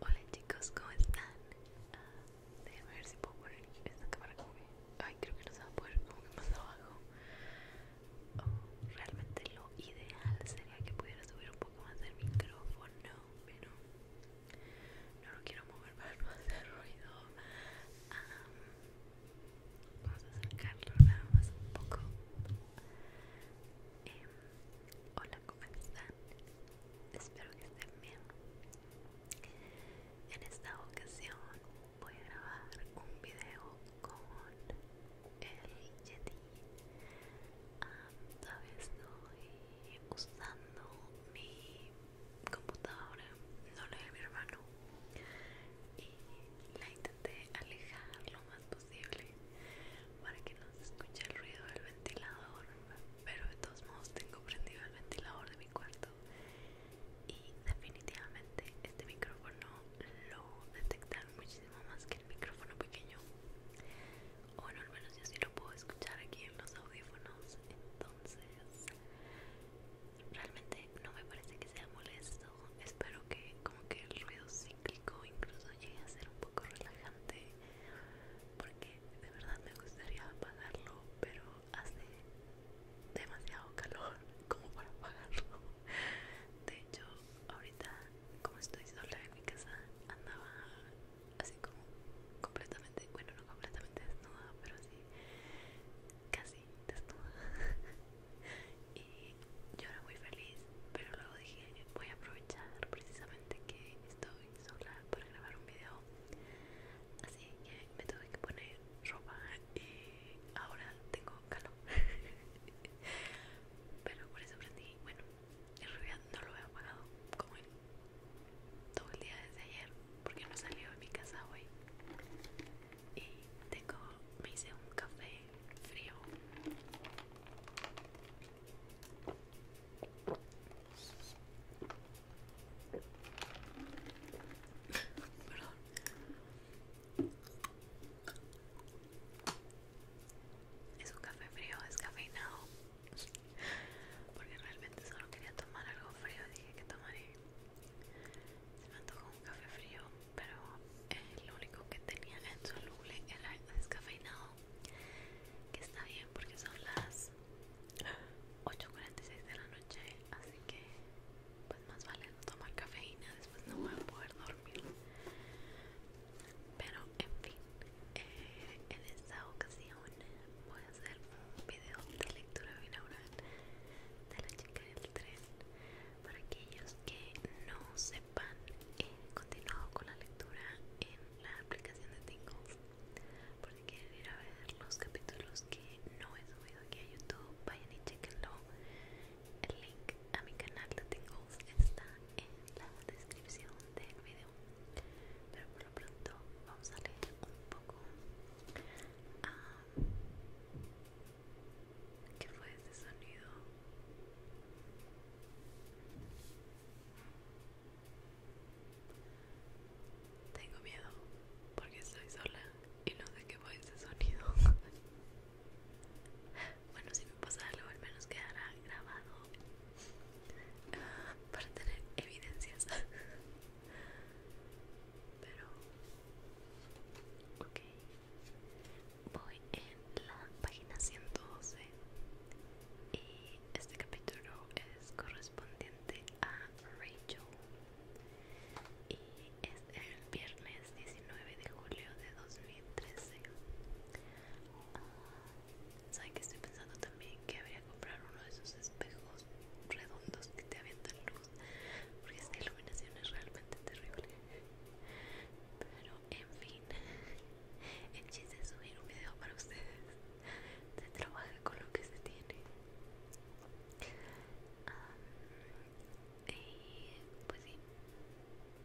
Hola chicos, ¿cómo están? Ah, déjenme ver si puedo poner esta cámara como Ay, creo que no se va a poder como más abajo oh, Realmente lo ideal sería que pudiera subir un poco más el micrófono Pero no lo quiero mover para no hacer ruido Vamos a acercarlo nada más un poco. Em, hola, ¿cómo están? Espero que estén bien. En esta ocasión voy a grabar un video con el Yeti. todavía estoy usando mi computadora, no la de mi hermano la intenté alejar lo más posible para que no se escuche el ruido del ventilador pero de todos modos tengo prendido el ventilador de mi cuarto y definitivamente este micrófono lo detecta muchísimo más que el micrófono pequeño o bueno al menos yo sí lo puedo escuchar aquí en los audífonos entonces realmente no me parece que sea molesto. Espero que como que el ruido cíclico incluso llegue a ser un poco relajante. Porque de verdad me gustaría apagarlo, pero hace demasiado calor como para apagarlo. De hecho, ahorita como estoy sola en mi casa, andaba así como completamente, bueno no completamente desnuda, pero así casi y yo era muy feliz, pero luego dije, voy a aprovechar precisamente que estoy sola para grabar un video. Así que me tuve que poner ropa y ahora tengo calor. pero por eso aprendí, bueno, en realidad no lo he apagado como todo el día desde ayer porque no salió de mi casa hoy y tengo, me hice un café frío perdón es un café frío es descafeinado porque realmente solo quería tomar algo frío dije que tomaré se me un café frío, pero lo único que tenía en soluble era descafeinado, que está bien porque son las 8.46 de la noche, así que pues más vale no tomar cafeína, después no voy a poder dormir. Pero en fin, eh, en esta ocasión voy a hacer un video de lectura binaural de la chica del tren para aquellos que no sepan he continuado con la lectura en la aplicación de Tingles por si quieren ir a ver los capítulos que no he subido aquí a YouTube vayan y chequenlo el link a mi canal de Tingles está en la descripción del video pero por lo pronto vamos a leer un poco ah, ¿Qué fue ese sonido? Tengo miedo porque estoy sola y no sé qué fue ese sonido. bueno, si me pasa algo, al menos quedará grabado para tener evidencias. Pero Ok. Voy en la página 112 y este capítulo es correspondiente a Rachel y es el viernes 19 de julio de 2013. Ah, Saben que estoy pensando también que habría que comprar uno de esos espejos redondos que te avientan luz porque esta iluminación es realmente terrible pero en fin el chiste es subir un video para ustedes se trabaja con lo que se tiene y pues sí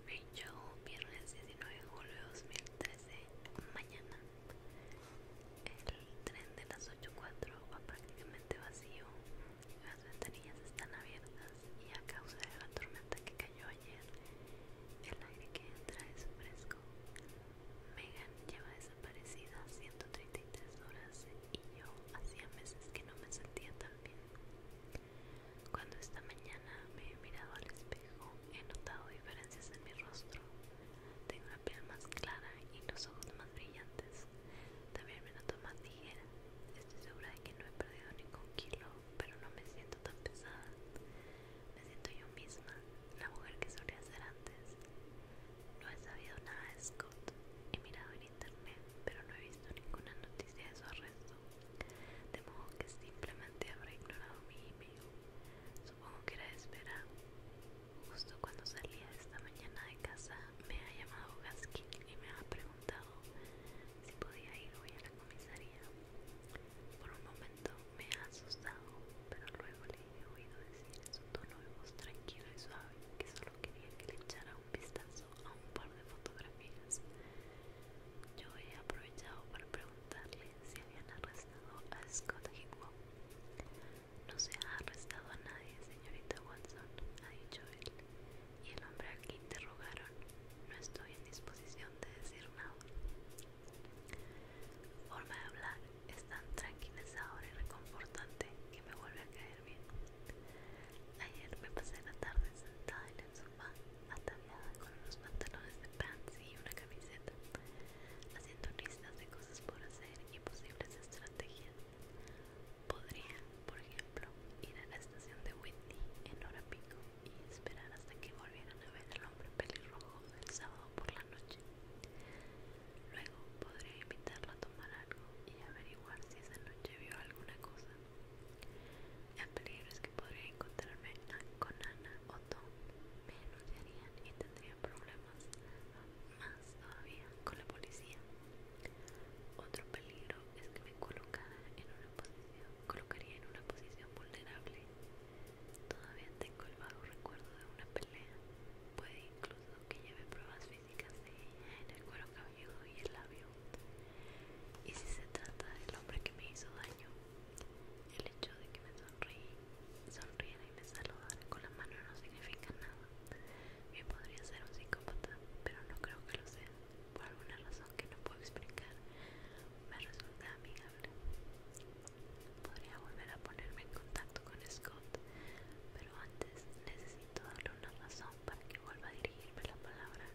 mi viernes 19 de julio de 2013 mañana el tren de las 8.4 va prácticamente vacío las ventanillas están abiertas y a causa de la tormenta que cayó ayer, el aire que entra es fresco. Megan lleva desaparecida 133 horas y yo hacía meses que no me sentía tan bien. Cuando esta mañana me he mirado al espejo, he notado diferencias en mi rostro. Tengo la piel más clara y los ojos más brillantes. También me noto más ligera Estoy segura de que no he perdido ningún kilo, pero no me siento tan pesada. Me siento yo misma, la mujer que solía ser antes. No he sabido nada de Scott. He mirado en internet, pero no he visto ninguna noticia de su arresto. De modo que simplemente habrá ignorado mi email. Supongo que era de Justo cuando salía esta mañana casa me ha llamado Gaskin y me ha preguntado si podía ir hoy a la comisaría. Por un momento me ha asustado, pero luego le he oído decir en su tono de voz tranquilo y suave que solo quería que le echara un vistazo a un par de fotografías. Yo he aprovechado para preguntarle si habían arrestado a Scott Hickwell. No se ha arrestado a nadie, señorita Watson, ha dicho él. Y el hombre al que interrogaron, no estoy en disposición de decir nada. Forma de hablar es tan tranquilizadora y reconfortante que me vuelve a caer bien. Ayer me pasé la tarde sentada en el sofá, ataviada con unos pantalones de pants y una camiseta, haciendo listas de cosas por hacer y posibles estrategias podría, por ejemplo, ir a la estación de Whitney en hora pico y esperar hasta que volvieran a ver al hombre pelirrojo el sábado por la noche. Luego podría invitarla a tomar algo y averiguar si esa noche vio alguna cosa. El peligro es que podría encontrarme con Ana o Tom. Me enunciarían y tendría problemas, más todavía con la policía. Otro peligro es que me colocara en una posición, colocaría en una posición vulnerable. Todavía tengo el vago recuerdo de una pelea. Puede incluso que lleve pruebas físicas de en el cuero cabelludo y el labio. Y si se trata del hombre que me hizo daño, el hecho de que me sonríe, sonriera y me saludara con la mano no significa nada. Bien podría ser un psicópata, pero no creo que lo sea. Por alguna razón que no puedo explicar, me resulta amigable. Podría volver a ponerme en contacto con Scott, pero antes necesito darle una razón para que vuelva a dirigirme la palabra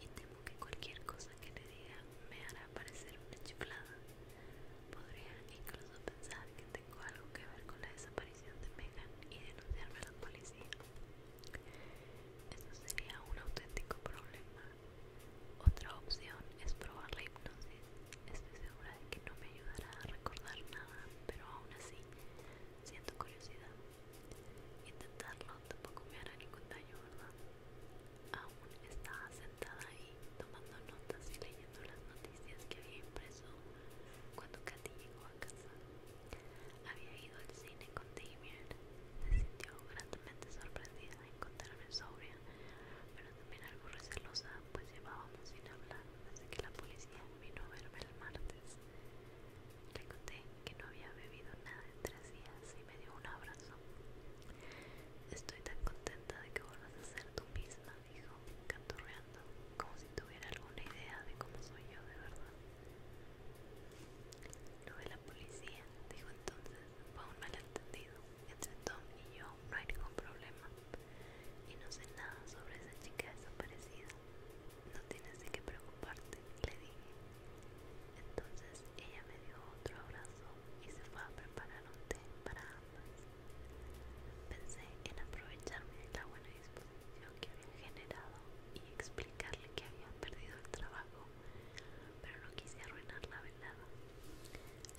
y temo que cualquier cosa que le diga me hará parecer una chiflada. Podría incluso pensar que tengo algo que ver con la desaparición de Megan y denunciarme a la policía. Eso sería un auténtico problema. Otra opción es probar la hipnosis. Estoy segura de que no me ayudará a recordar nada, pero aún así siento curiosidad. Intentarlo tampoco me hará ningún daño, ¿verdad? Aún estaba sentada ahí tomando notas y leyendo las noticias que había prensa cuando Katy llegó a casa. Había ido al cine con Damien. Se sintió gratamente sorprendida de encontrarme sobria, pero también algo recelosa, pues llevábamos sin hablar desde que la policía vino a verme el martes. Le conté que no había bebido nada en tres días y me dio un abrazo. Estoy tan contenta de que vuelvas a ser tú misma, dijo, canturreando, como si tuviera alguna idea de cómo soy yo de verdad. Lo de la policía, dijo entonces, fue un malentendido. Entre Tom y yo no hay ningún problema. Y no sé nada sobre esa chica desaparecida. No tienes de qué preocuparte, le dije. Entonces ella me dio otro abrazo y se fue a preparar un té para ambas. Pensé en aprovecharme de la buena disposición que había generado y explicarle que había perdido el trabajo, pero no quise arruinar la velada.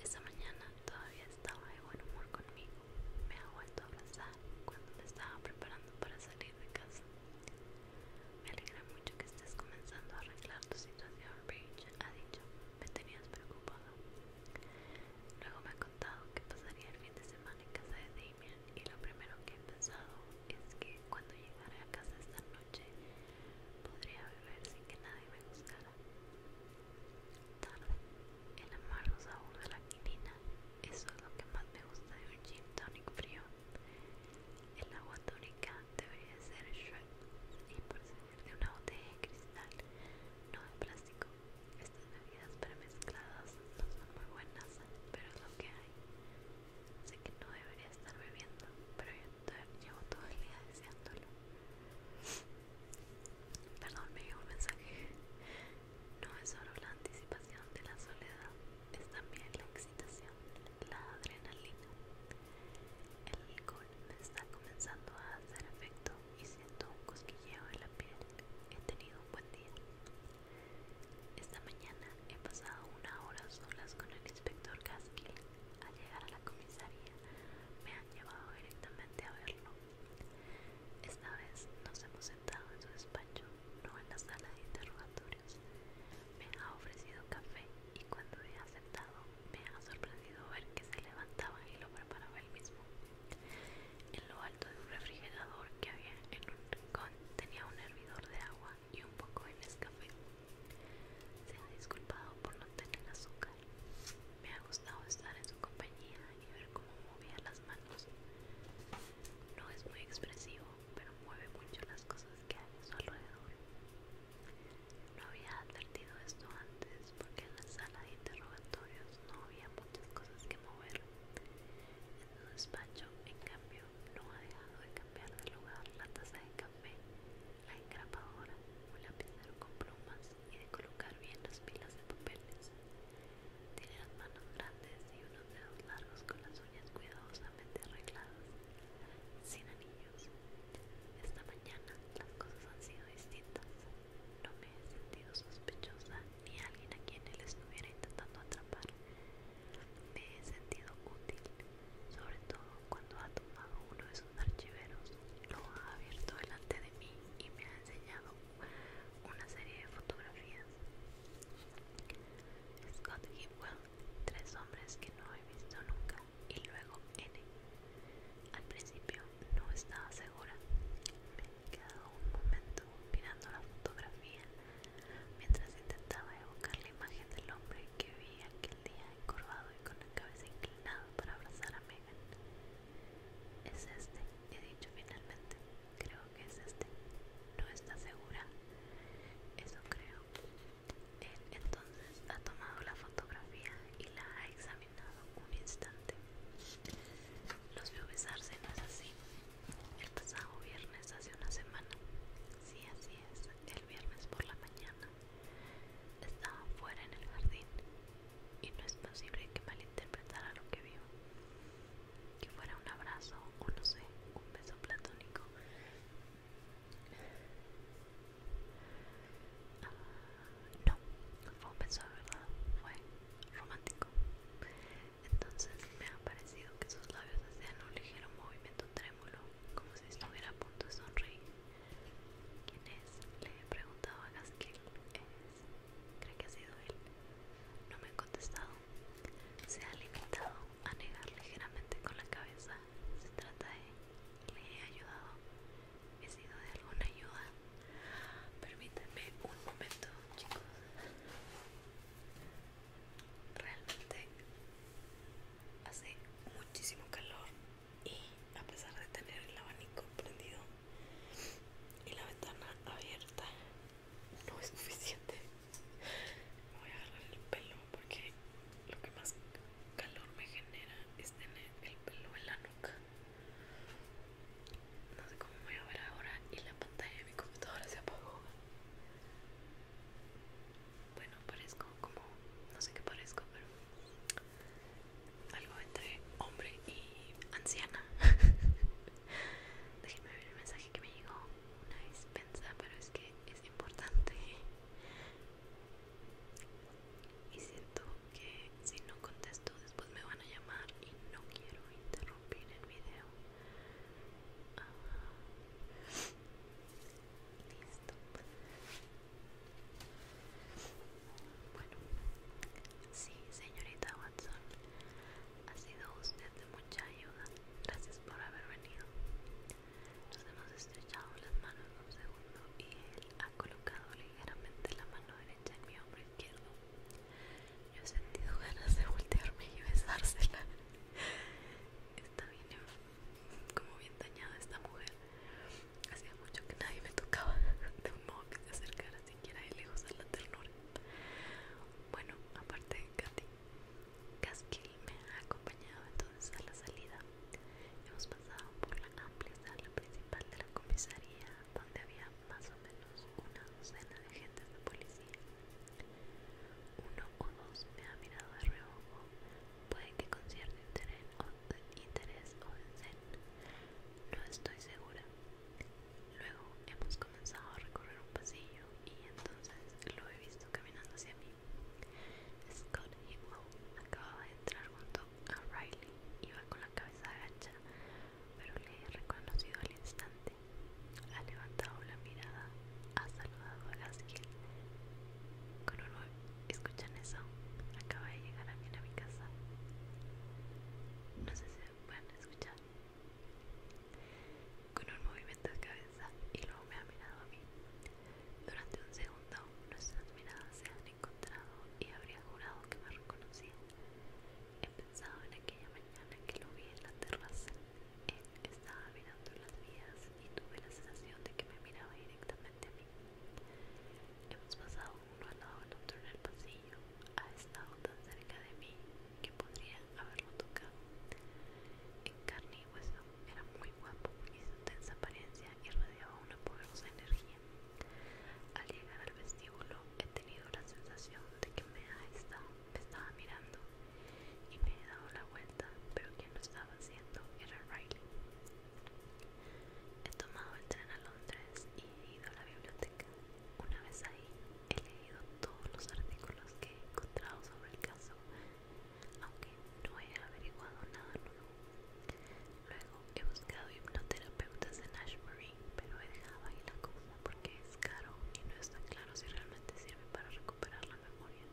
Esa mañana todavía estaba de buen humor conmigo. Me ha vuelto a abrazar cuando me estaba preparando para salir de casa. Me alegra mucho que estés comenzando a arreglar tu situación, Bridge, ha dicho. Me tenías preocupado Luego me ha contado que pasaría el fin de semana en casa de Damien y lo primero que he pensado es que cuando llegara a casa esta noche podría beber sin que nadie me buscara. Tarde, el amargo sabor de la quinina, eso es lo que más me gusta de un gin tonic frío. El agua tónica debería ser Shred y proceder de una botella de cristal, no de plástico. Estas bebidas premezcladas no son muy buenas, pero es lo que hay. Sé que no debería estar bebiendo, pero yo llevo todo el día deseándolo. Perdón, me llegó un mensaje. No es solo la anticipación de la soledad, es también la excitación, la adrenalina. El alcohol me está comenzando a hacer efecto y siento un cosquilleo en la piel. He tenido un buen día. Esta mañana he pasado una hora solas con el inspector Gaskill. Al llegar a la comisaría me han llevado directamente a verlo. Esta vez nos hemos sentado en su despacho, no en la sala de interrogatorios. Me ha ofrecido café y cuando he aceptado me ha sorprendido ver que se levantaba y lo preparaba él mismo. En lo alto de un refrigerador que había en un rincón tenía un hervidor de agua y un poco de Nescafé. Se ha disculpado por no tener azúcar. Me ha gustado estar en su compañía y ver cómo movía las manos. No es muy expresivo, pero mueve mucho las cosas que hay a su alrededor. No había advertido esto antes, pues, porque en la sala de interrogatorios no había muchas cosas que mover. En su despacho, en cambio, no ha dejado de cambiar de lugar la taza de café, la engrapadora, un lapicero con plumas y de colocar bien las pilas de papeles. Tiene las manos grandes y unos dedos largos con las uñas cuidadosamente arregladas, sin anillos. Esta mañana las cosas han sido distintas. No me he sentido sospechosa ni alguien a quien él estuviera intentando atrapar. Me he sentido útil, sobre todo cuando ha tomado uno de sus archiveros, lo ha abierto delante de mí y me ha enseñado una serie de fotografías. Scott Hipwell, tres hombres que no he visto nunca, y luego N, al principio no estaba segura. Me he quedado un momento mirando la fotografía mientras intentaba evocar la imagen del hombre que vi aquel día encorvado y con la cabeza inclinada para abrazar a Megan. Es este, he dicho finalmente. Creo que es este. No está segura. Eso creo. Él entonces ha tomado la fotografía y la ha examinado un instante. Los veo besarse, no es así. El pasado viernes hace una semana. si así es. El viernes por la mañana. Estaba fuera en el jardín. Y no es posible que malinterpretara lo que vio. Que fuera un abrazo o no sé, un beso platónico no, fue verdad, fue romántico. Entonces me ha parecido que sus labios hacían un ligero movimiento trémulo, como si estuviera a punto de sonreír. ¿Quién es? Le he preguntado a Gaskill. ¿Es? ¿Cree que ha sido él? No me ha contestado. Se ha limitado a negar ligeramente con la cabeza. Se trata de... Le he ayudado he sido de alguna ayuda. Permítanme un momento, chicos. Realmente hace muchísimo calor y a pesar de tener el abanico prendido y la ventana abierta, no es suficiente. Me voy a agarrar el pelo porque lo que más calor me genera es tener el pelo en la nuca. No sé cómo voy a ver ahora y la pantalla de mi computadora se apagó. Bueno, parezco como, no sé qué parezco, pero algo entre hombre y anciana. Déjenme ver el mensaje que me llegó. Una dispensa, pero es que es importante y siento que si no contesto después me van a llamar y no quiero interrumpir el video ah, listo bueno sí señorita Watson ha sido usted de mucha ayuda gracias por haber venido nos hemos estrechado las manos un segundo y él ha colocado ligeramente la mano derecha en mi hombro izquierdo. Yo he sentido ganas de voltearme y besársela. Está bien, como bien dañada esta mujer. Hacía mucho que nadie me tocaba de un modo que se acercara siquiera de lejos a la ternura. Bueno, aparte de Katy, Gaskill me ha acompañado entonces a la salida Hemos pasado por la amplia sala principal de la comisaría, donde había más o menos una docena de agentes de policía. Uno o dos me ha mirado de reojo, puede que con cierto interés o, no estoy segura. Luego hemos comenzado a recorrer un pasillo y entonces lo he visto caminando hacia mí. Scott Himlow acababa de entrar junto a Riley. Iba con la cabeza agacha, pero le he reconocido al instante. Ha levantado la mirada, ha saludado a Gaskiel. ¿Escuchan eso? Acaba de llegar a mi casa. No sé si pueden escuchar. Con un movimiento de cabeza y luego me ha mirado a mí. Durante un segundo nuestras miradas se han encontrado y habría jurado que me reconocía. He pensado en aquella mañana que lo vi en la terraza. Él estaba mirando las vías y tuve la sensación de que me miraba directamente a mí. Hemos pasado uno al lado del otro en el pasillo. Ha estado tan cerca de mí que podría haberlo tocado. En carne era muy guapo y su tensa apariencia y irradiaba una poderosa energía. Al llegar al vestíbulo he tenido la sensación de que me, ha estado, me estaba mirando y me he dado la vuelta, pero quien lo estaba haciendo era Riley. He tomado el tren a Londres y he ido a la biblioteca. Una vez ahí he leído todos los artículos que he encontrado sobre el caso, aunque no he averiguado nada nuevo. Luego he buscado hipnoterapeutas en Ashbury, pero he dejado ahí la cosa porque es caro y no está claro si realmente sirve para recuperar la memoria.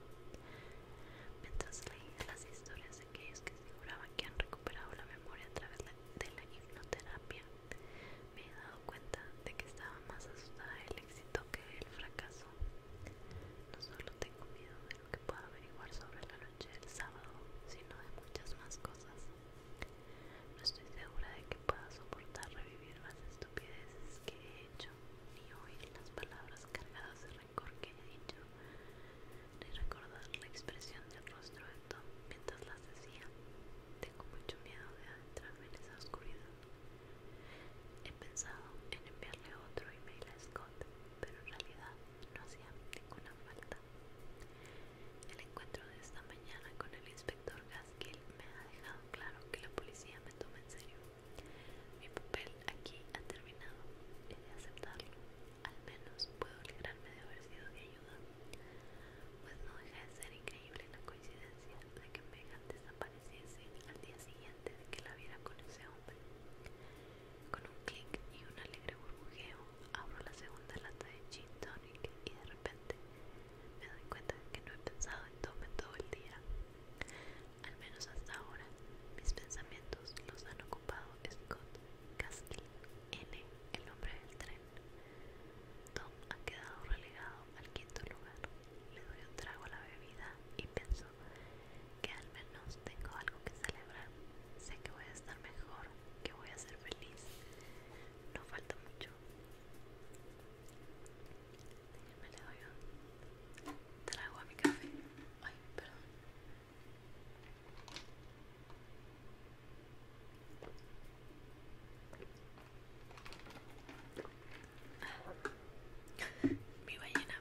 Mientras leía las historias de aquellos que aseguraban que han recuperado la memoria a través de la hipnoterapia, me he dado cuenta de que estaba más asustada del éxito que del fracaso. No solo tengo miedo que pueda averiguar sobre la noche del sábado, sino de muchas más cosas. No estoy segura de que pueda soportar revivir las estupideces que he hecho, ni oír las palabras cargadas de rencor que he dicho, ni recordar la expresión del rostro de Tom mientras las decía. Tengo mucho miedo de adentrarme en esa oscuridad. He pensado en enviarle otro email a Scott, pero en realidad no hacía ninguna falta. El encuentro de esta mañana con el inspector Gaskill me ha dejado claro que la policía me toma en serio. Mi papel aquí ha terminado. He de aceptarlo. Al menos puedo alegrarme de haber sido de ayuda. Pues no deja de ser increíble la coincidencia de que Megan desapareciese al día siguiente de que la viera con ese con un clic y un alegre burbujeo, abro la segunda lata de gin tonic y de repente me doy cuenta que no he pensado en tome todo el día. Al menos hasta ahora, mis pensamientos los han ocupado Scott Castle, N, el nombre del tren. Tom ha quedado relegado al quinto lugar. Le doy un trago a la bebida y pienso que al menos tengo algo que celebrar. Sé que voy a estar mejor, que voy a ser feliz. No falta mucho. Me le doy trago a mi café. Ay, perdón. Ah, mi ballena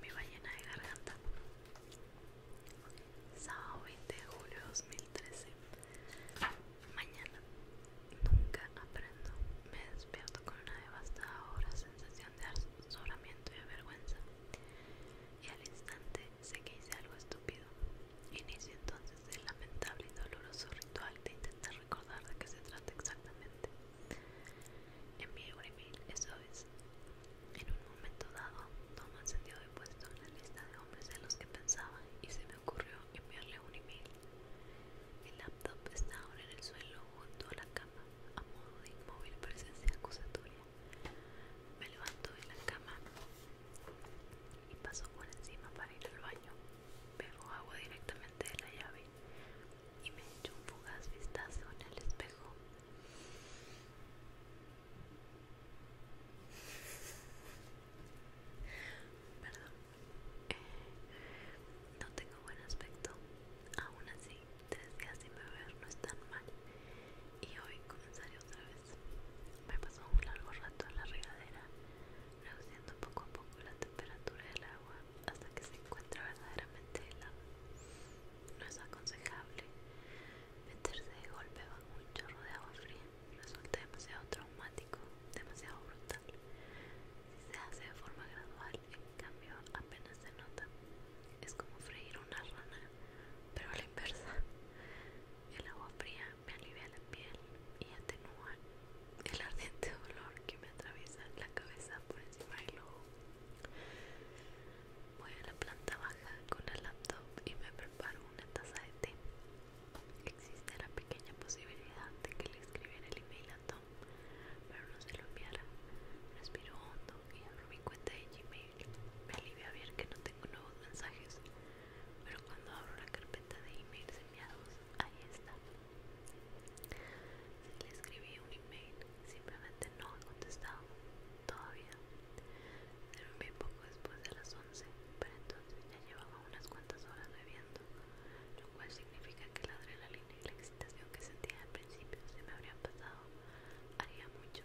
mi ballena de garganta sábado 20 de julio de 2013 mañana nunca aprendo me despierto con una devastadora sensación de asolamiento y avergüenza y al instante sé que hice algo estúpido inicio entonces el lamentable y doloroso ritual de intentar recordar de qué se trata exactamente Envié un email, eso es. En un momento dado, Thomas se dio de puesto en la lista de hombres de los que pensaba y se me ocurrió enviarle un email. El laptop está ahora en el suelo junto a la cama, a modo de inmóvil presencia acusatoria. Me levanto de la cama y paso por encima para ir al baño. Bebo agua directamente de la llave, y me he hecho un fugaz vistazo en el espejo. Perdón, eh, no tengo buen aspecto, aún así tres días me beber no es tan mal y hoy comenzaré otra vez. Me pasó un largo rato en la regadera, reduciendo poco a poco la temperatura del agua hasta que se encuentra verdaderamente helada. No es aconsejable meterse de golpe bajo un chorro de agua fría, resulta demasiado traumático, demasiado brutal. Si se hace de forma gradual, en cambio apenas se nota. Es como freír una rana, pero a la inversa. El agua fría me alivia la piel y atenúa el ardiente dolor que me atraviesa la cabeza por encima del ojo. Voy a la planta baja con el laptop y me preparo una taza de té. Existe la pequeña posibilidad de que le escribiera el email a Tom, pero no se lo enviara. Respiro hondo y abro mi cuenta de Gmail. Me alivia ver que no tengo nuevos mensajes, pero cuando abro la carpeta de emails enviados, ahí está. Le escribí un email, simplemente no ha contestado todavía. Se poco después de las 11, pero entonces ya llevaba unas cuantas horas bebiendo, lo cual significa que la adrenalina y la excitación que sentía al principio se me habrían pasado. Haría mucho.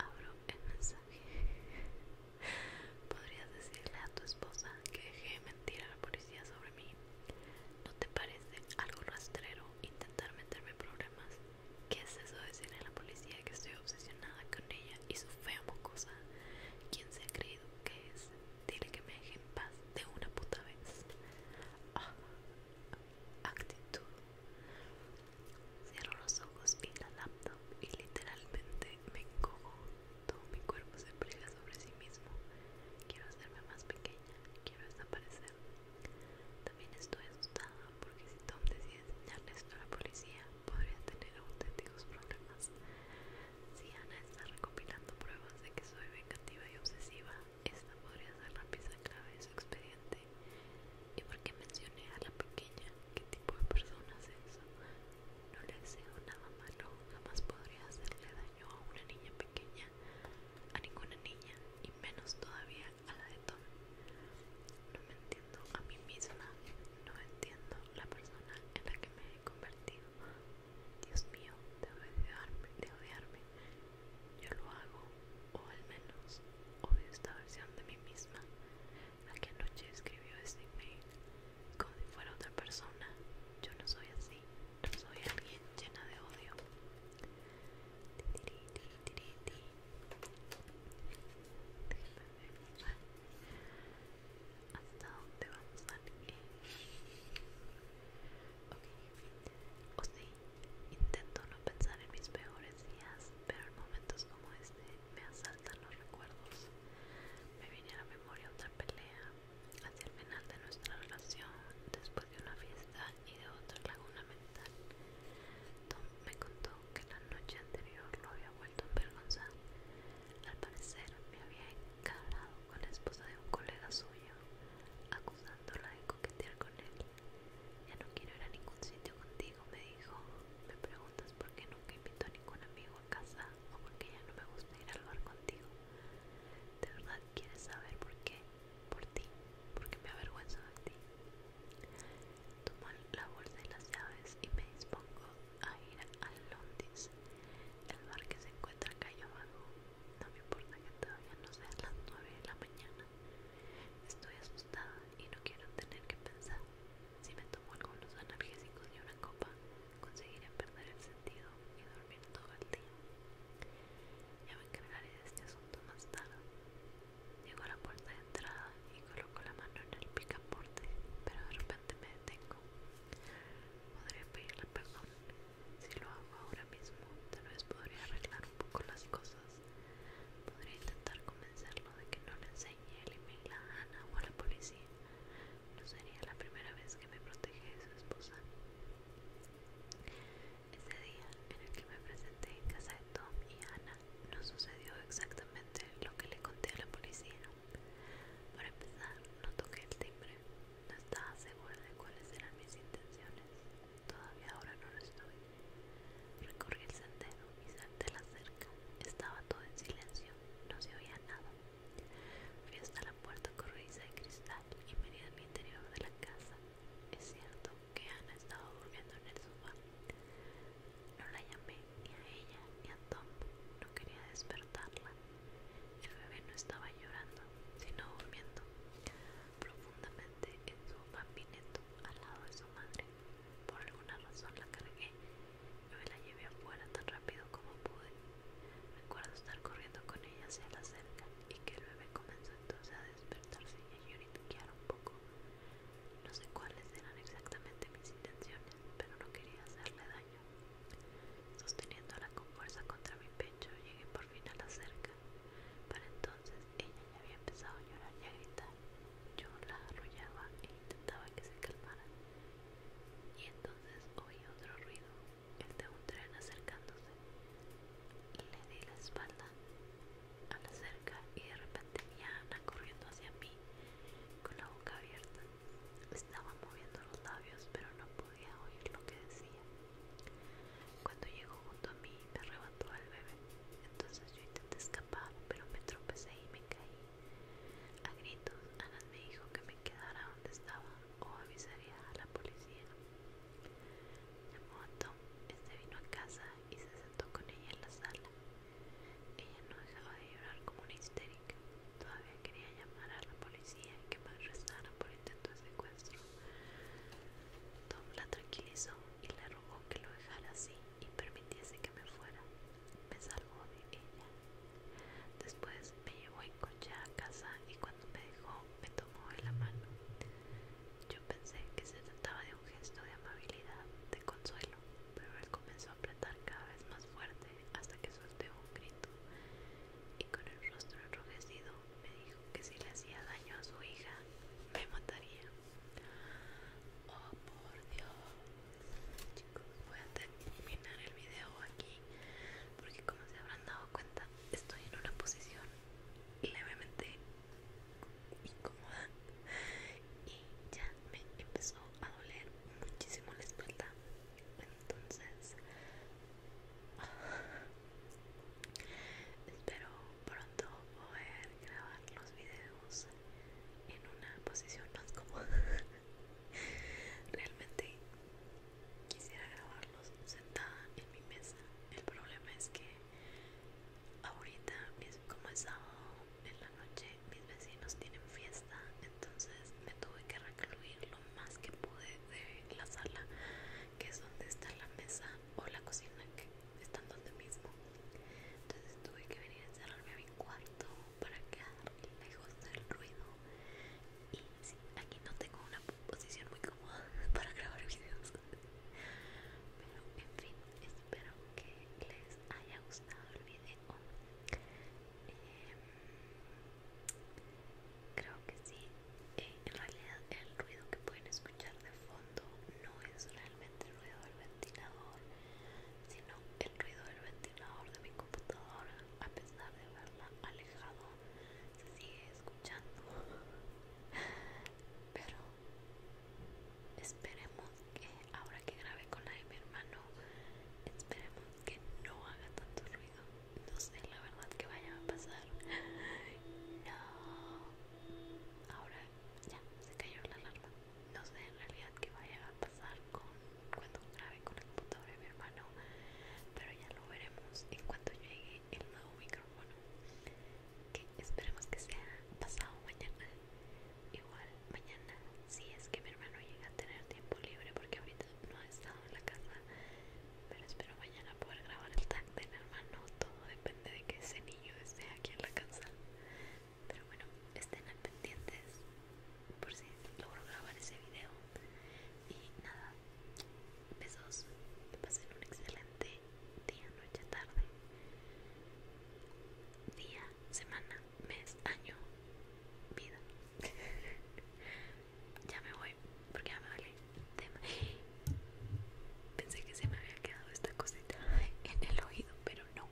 Abro el mensaje. ¿Podrías decirle a tu esposa que dejé mentir a la policía sobre ¿No te parece algo rastrero intentar meterme problemas? ¿Qué es eso de decirle a la policía que estoy obsesionada con ella y su fea mocosa? ¿Quién se ha creído que es? Dile que me deje en paz de una puta vez. Ah, actitud. Cierro los ojos y la laptop y literalmente me encojo. Todo mi cuerpo se pliega sobre sí mismo. Quiero hacerme más pequeña quiero desaparecer. También estoy asustada porque si Tom decide enseñarle esto a la policía, podría tener auténticos problemas. Si Ana está recopilando pruebas de que soy vengativa y obsesiva, esta podría ser la pieza clave de su expediente. ¿Y por qué mencioné a la pequeña? ¿Qué tipo de persona es eso? No le deseo nada malo, jamás podría hacerle daño yo a una niña pequeña, a ninguna niña y menos todavía a la de Tom. No me entiendo a mí misma, no entiendo la persona en la que me he convertido. Dios mío, de odiarme, de odiarme. Yo lo hago, o al menos odio esta versión de mí misma. La que anoche escribió este email, como si fuera otra persona. Yo no soy así no soy alguien llena de odio. hasta dónde vamos a ir. o sí, intento no pensar en mis peores días, pero en momentos como este me asaltan los recuerdos. Me viene a la memoria otra pelea, Hacia el final de nuestra relación, después de una fiesta y de otra laguna mental, Tom me contó que la noche anterior lo había vuelto a Al parecer, me había encarado con la esposa de un colega suyo, acusándola de coquetear con él. Ya no quiero ir a ningún sitio contigo, me dijo. Me preguntas por qué nunca invito a ningún amigo a casa o por qué ya no me gusta ir al bar contigo. De verdad quieres saber por qué, por ti, porque me avergüenzo de ti. Tomo la bolsa de las llaves y me dispongo a ir al Londres, el bar que se encuentra calle abajo. No me importa que todavía no sean las 9 de la mañana. Estoy asustada y no quiero tener que pensar. Si me tomo algunos analgésicos y una copa, conseguiré perder el sentido y dormir todo el día. Ya me encargaré de este asunto más tarde. Llego a la puerta de entrada y coloco la mano en el picaporte, pero de repente me detengo. Podría pedirle perdón. Si lo hago ahora mismo, tal vez podría arreglar un poco las cosas. Podría intentar convencerlo de que no le enseñe el email a Ana o a la policía. No sería la primera vez que me protege de su esposa. Ese día en el que me presenté en casa de Tom y Ana, no sucedió exactamente lo que le conté a la policía. Para empezar, no toqué el timbre. No estaba segura de cuáles eran mis intenciones. Todavía ahora no lo estoy. Recorrí el sendero y salté la cerca. Estaba todo en silencio. No se oía nada. Fui hasta la puerta corrediza de cristal y en al interior de la casa. Es cierto que Ana estaba durmiendo en el sofá. No la llamé ni a ella ni a Tom. No quería despertarla. El bebé no estaba llorando, sino durmiendo profundamente en su papineto al lado de su madre. Por alguna razón la cargué. y la llevé afuera tan rápido como pude. Recuerdo estar corriendo con ella hacia la cerca y que el bebé comenzó entonces a despertarse y a lloriquear un poco. No sé cuáles eran exactamente mis intenciones, pero no quería hacerle daño. Sosteniéndola con fuerza contra mi pecho, llegué por fin a la cerca. Para entonces ella ya había empezado a llorar y a gritar. Yo la arrollaba e intentaba que se calmara. Y entonces oí otro ruido, el de un tren acercándose. Le di la espalda a la cerca y de repente vi Ana corriendo hacia mí con la boca abierta. Estaba moviendo los labios pero no podía oír lo que decía. Cuando llegó junto a mí me arrebató al bebé. Entonces yo intenté escapar pero me tropecé y me caí. A gritos, Ana me dijo que me quedara donde estaba o avisaría a la policía. Llamó a Tom, este vino a casa y se sentó con ella en la sala. Ella no dejaba de llorar como una histérica. Todavía quería llamar a la policía y que me arrestara por intento de secuestro. Tom la tranquilizó y le rogó que lo dejara así y permitiese que me fuera. Me salvó de ella Después me llevó en coche a casa y cuando me dejó me tomó de la mano. Yo pensé que se trataba de un gesto de amabilidad, de consuelo, pero él comenzó a apretar cada vez más fuerte hasta que soltó un grito y con el rostro enrojecido me dijo que si le hacía daño a su hija me mataría. Oh por Dios. Chicos, voy a terminar el video aquí porque como se habrán dado cuenta estoy en una posición levemente incómoda y ya me empezó a doler muchísimo la espalda. Entonces espero pronto poder grabar los videos en una posición más cómoda Realmente quisiera grabarlos sentada en mi mesa. El problema es que ahorita, como es sábado en la noche, mis vecinos tienen fiesta, entonces me tuve que recluir lo más que pude de la sala, que es donde está la mesa o la cocina que están donde mismo. Entonces tuve que venir a encerrarme a mi cuarto para quedar lejos del ruido y sí, aquí no tengo una posición muy cómoda para grabar videos pero en fin espero que les haya gustado el video em, creo que sí eh, en realidad el ruido que pueden escuchar de fondo no es realmente el ruido del ventilador sino el ruido del ventilador el ordenador de mi computadora, a pesar de haberla alejado, se sigue escuchando. Pero esperemos que ahora que grabe con la de mi hermano, esperemos que no haga tanto ruido. No sé la verdad que vaya a pasar. No. Ahora ya se cayó la alarma. No sé en realidad que vaya a pasar con cuando grabe con el computador de mi hermano pero ya lo veremos en cuanto llegue el nuevo micrófono que esperemos que sea pasado mañana igual mañana si es que mi hermano llega a tener tiempo libre porque ahorita no ha estado en la casa pero espero mañana poder grabar el tag de mi hermano todo depende de que ese niño esté aquí en la casa pero bueno estén pendientes por si logro grabar ese video. Y nada, besos, que pasen un excelente día, noche, tarde, día, semana, mes, año, vida. ya me voy, porque ya me vale Pensé que se me había quedado esta cosita en el oído, pero no.